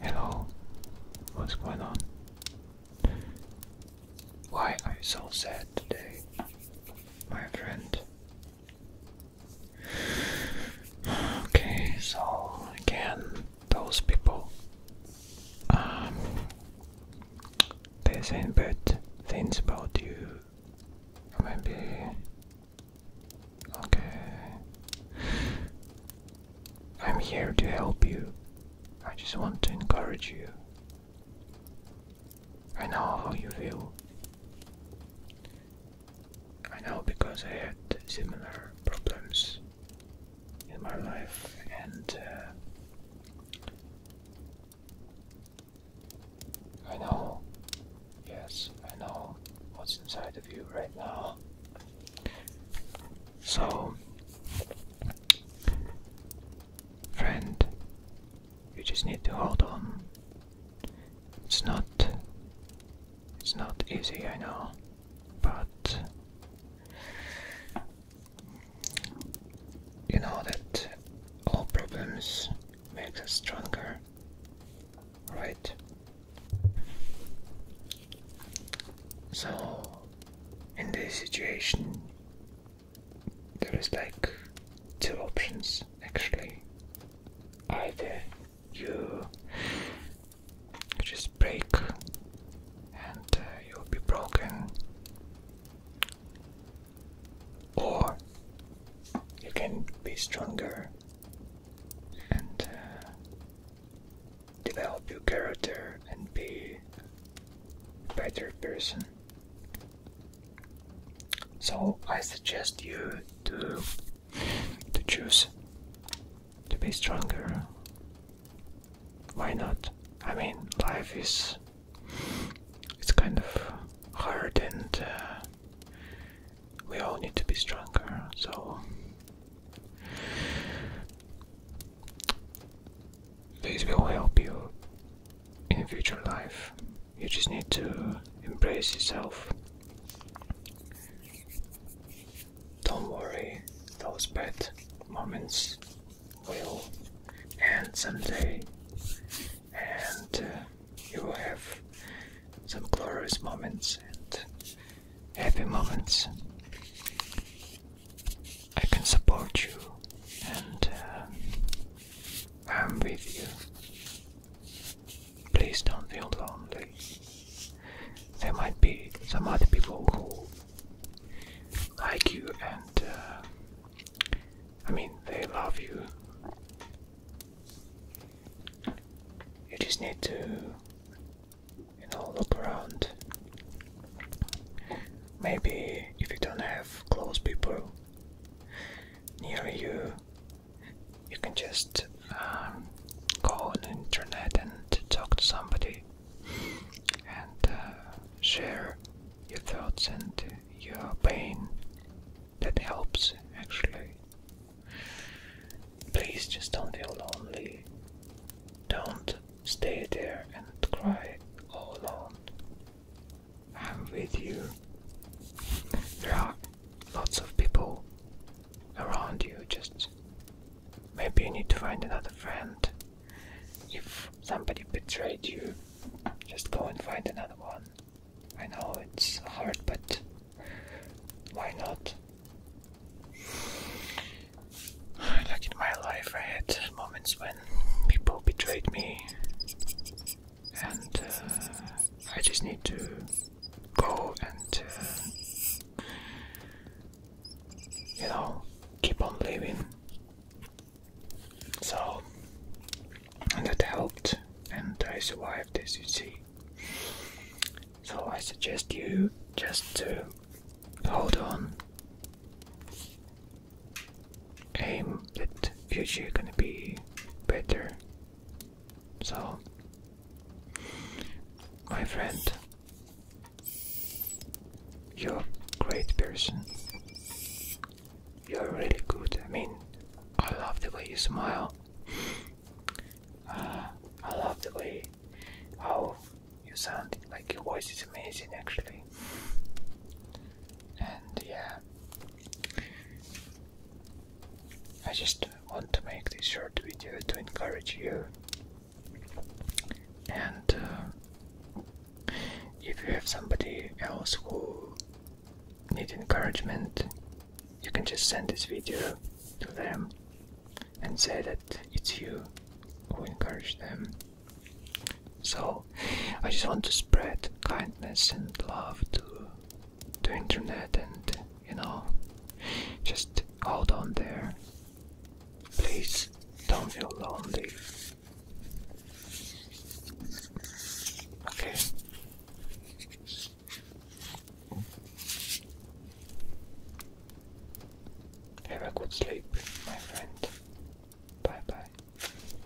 Hello, what's going on? Why are you so sad today, my friend? Okay, so again, those people. Um, there's said bad things about you. Maybe. Okay. I'm here to help you. I just want to encourage you. I know how you feel. I know because I had similar problems in my life, and uh, I know, yes, I know what's inside of you right now. So, friend, you just need to hold on. It's not. It's not easy, I know, but you know that all problems make us stronger, right? So, in this situation, there is like two options actually. Either you just break and uh, you'll be broken. Or you can be stronger and uh, develop your character and be a better person. So I suggest you to to choose to be stronger why not? I mean, life is it's kind of hard, and uh, we all need to be stronger. So these will help you in future life. You just need to embrace yourself. Don't worry, those bad moments will end someday, and uh, you will have some glorious moments and happy moments. I can support you, and uh, I'm with you. Please don't feel lonely there might be some other people who like you and uh, I mean they love you. You just need to you know look around. Maybe if you don't have close people near you you can just go um, on the internet and talk to somebody and uh, share your thoughts and your pain. That helps actually. Please just don't feel lonely. Don't stay there and cry all alone. I'm with you. There lots of people around you. Just maybe you need to find another friend. If somebody betrayed you, just go and find another one. I know it's hard, but why not? Like in my life, I had moments when people betrayed me, and uh, I just need to go and uh, you know keep on living. So that helped, and I survived, as you see. So I suggest you just to hold on. Aim that future gonna be better so, my friend, you're a great person. You're really good. I mean, I love the way you smile. Uh, I love the way how you sound. Like your voice is amazing, actually. And yeah, I just want to make this short video to encourage you. And uh, if you have somebody else who need encouragement, you can just send this video to them and say that it's you who encourage them. So I just want to spread kindness and love to the internet and you know just hold on there please don't feel lonely okay have a good sleep my friend bye bye